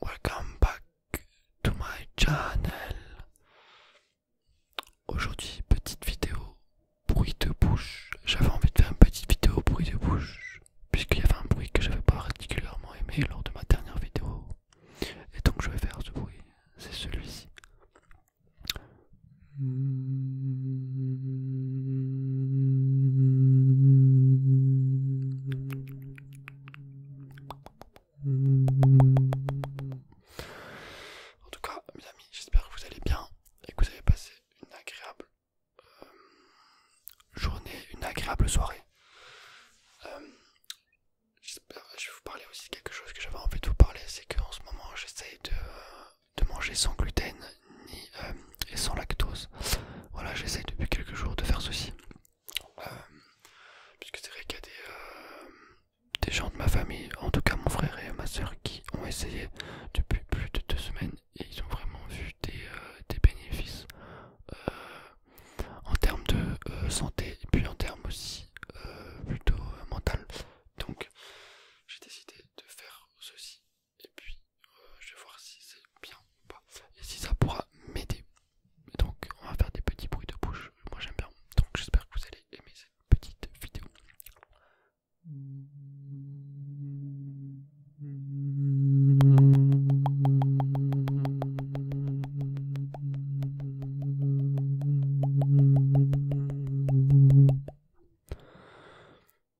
Welcome back to my channel. Aujourd'hui, petite vidéo bruit de bouche. J'avais envie de faire une petite vidéo bruit de bouche puisqu'il y avait un bruit que j'avais pas particulièrement aimé lors de ma dernière vidéo. Et donc je vais faire ce bruit. C'est celui-ci. En tout cas, mes amis, j'espère que vous allez bien et que vous avez passé une agréable euh, journée, une agréable soirée. Euh, j'espère. je vais vous parler aussi de quelque chose que j'avais envie de vous parler, c'est qu'en ce moment j'essaye de... Euh, de manger sans gluten euh, et sans lactose. Voilà, j'essaye depuis quelques jours de faire ceci. Euh, puisque c'est vrai qu'il y a euh, des, gens de ma famille, en tout cas mon frère et ma soeur, qui ont essayé depuis plus de deux semaines et ils ont vraiment vu des, bénéfices en termes de santé et puis en termes aussi plutôt mental. Donc j'ai décidé de faire ceci et puis euh, je vais voir si c'est bien ou pas et si ça pourra m'aider. Donc on va faire des petits bruits de bouche, moi j'aime bien, donc j'espère que vous allez aimer cette petite vidéo.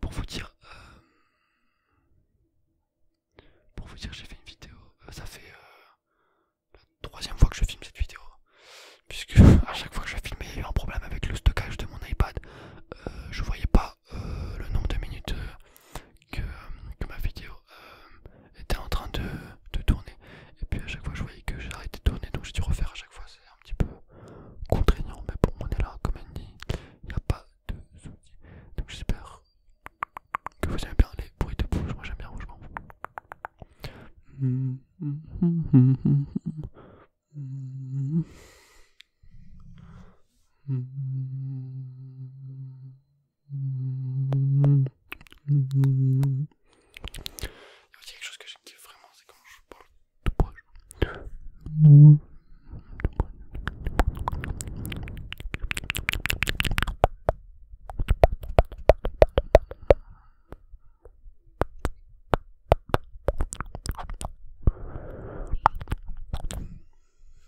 Pour vous dire, euh, pour vous dire, j'ai fait une vidéo. Euh, ça fait euh, la troisième fois que je filme cette vidéo, puisque à chaque fois que je filmais, il y a eu un problème avec le stockage de mon iPad. je je voyais pas euh, le nombre de minutes euh, que, euh, que ma vidéo était en train de, de tourner. Et puis à chaque fois, je voyais que j'arrêtais de tourner, donc j'ai dû refaire à chaque fois. C'est un petit peu contraignant, mais pour on est là, comme elle dit, il n'y a pas de soucis. Donc j'espère que vous aimez bien les bruits de bouche. Moi j'aime bien, rougement mm, mm, mm, il y a aussi quelque chose que j'aime vraiment, c'est quand je parle de proche.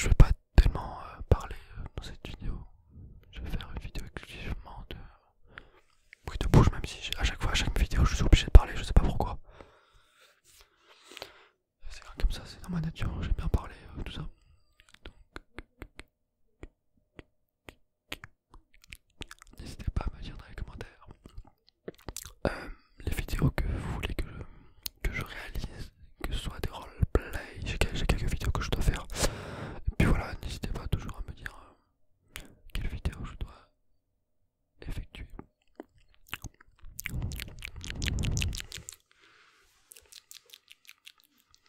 Je vais pas tellement euh, parler euh, dans cette vidéo. Je vais faire une vidéo exclusivement de bruit de bouche, même si à chaque fois, à chaque vidéo, je suis obligé de parler. Je sais pas pourquoi. C'est comme ça, c'est dans ma nature. J'aime bien parler, euh, tout ça. N'hésitez pas à me dire dans les commentaires euh, les vidéos que vous voulez que je, que je réalise, que ce soit des roleplays j'ai quelques vidéos que je dois faire. Et puis voilà, n'hésitez pas toujours à me dire euh, quelles quelle vidéo je dois effectuer.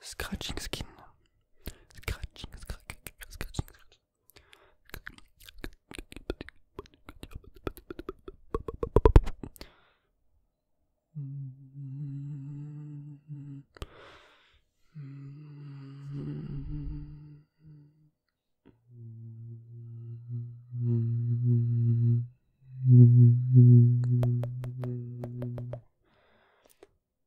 scratching skin. Scratching, scratching, scratching.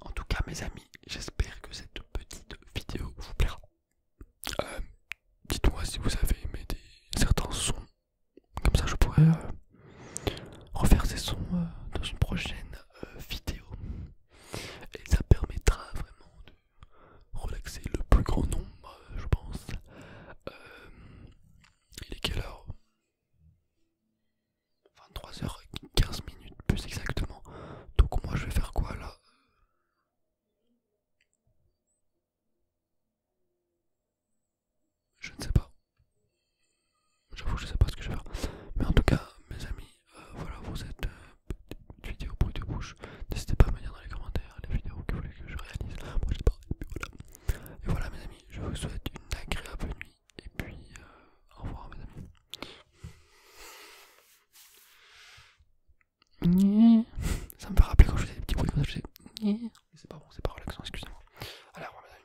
En tout cas mes amis, j'espère que cette petite vidéo vous plaira. Euh, dites-moi si vous avez aimé certains sons, comme ça je pourrais euh, refaire ces sons euh, dans une prochaine vidéo et ça permettra vraiment de relaxer le plus grand nombre, je pense. Euh, il est quelle heure 23h15 minutes plus exactement. Donc moi je vais faire quoi là Je ne sais pas. J'avoue je ne sais pas ce que je vais faire. Mais en tout cas mes amis, euh, voilà pour cette euh, petite vidéo bruit de bouche. N'hésitez pas à me dire dans les commentaires les vidéos que vous voulez que je réalise et voilà, Et voilà mes amis, je vous souhaite une agréable nuit et puis euh, au revoir mes amis. Ça me fait rappeler quand je faisais des petits bruits comme ça, C'est pas bon, c'est pas relaxant, excusez-moi. Allez, au revoir mes amis.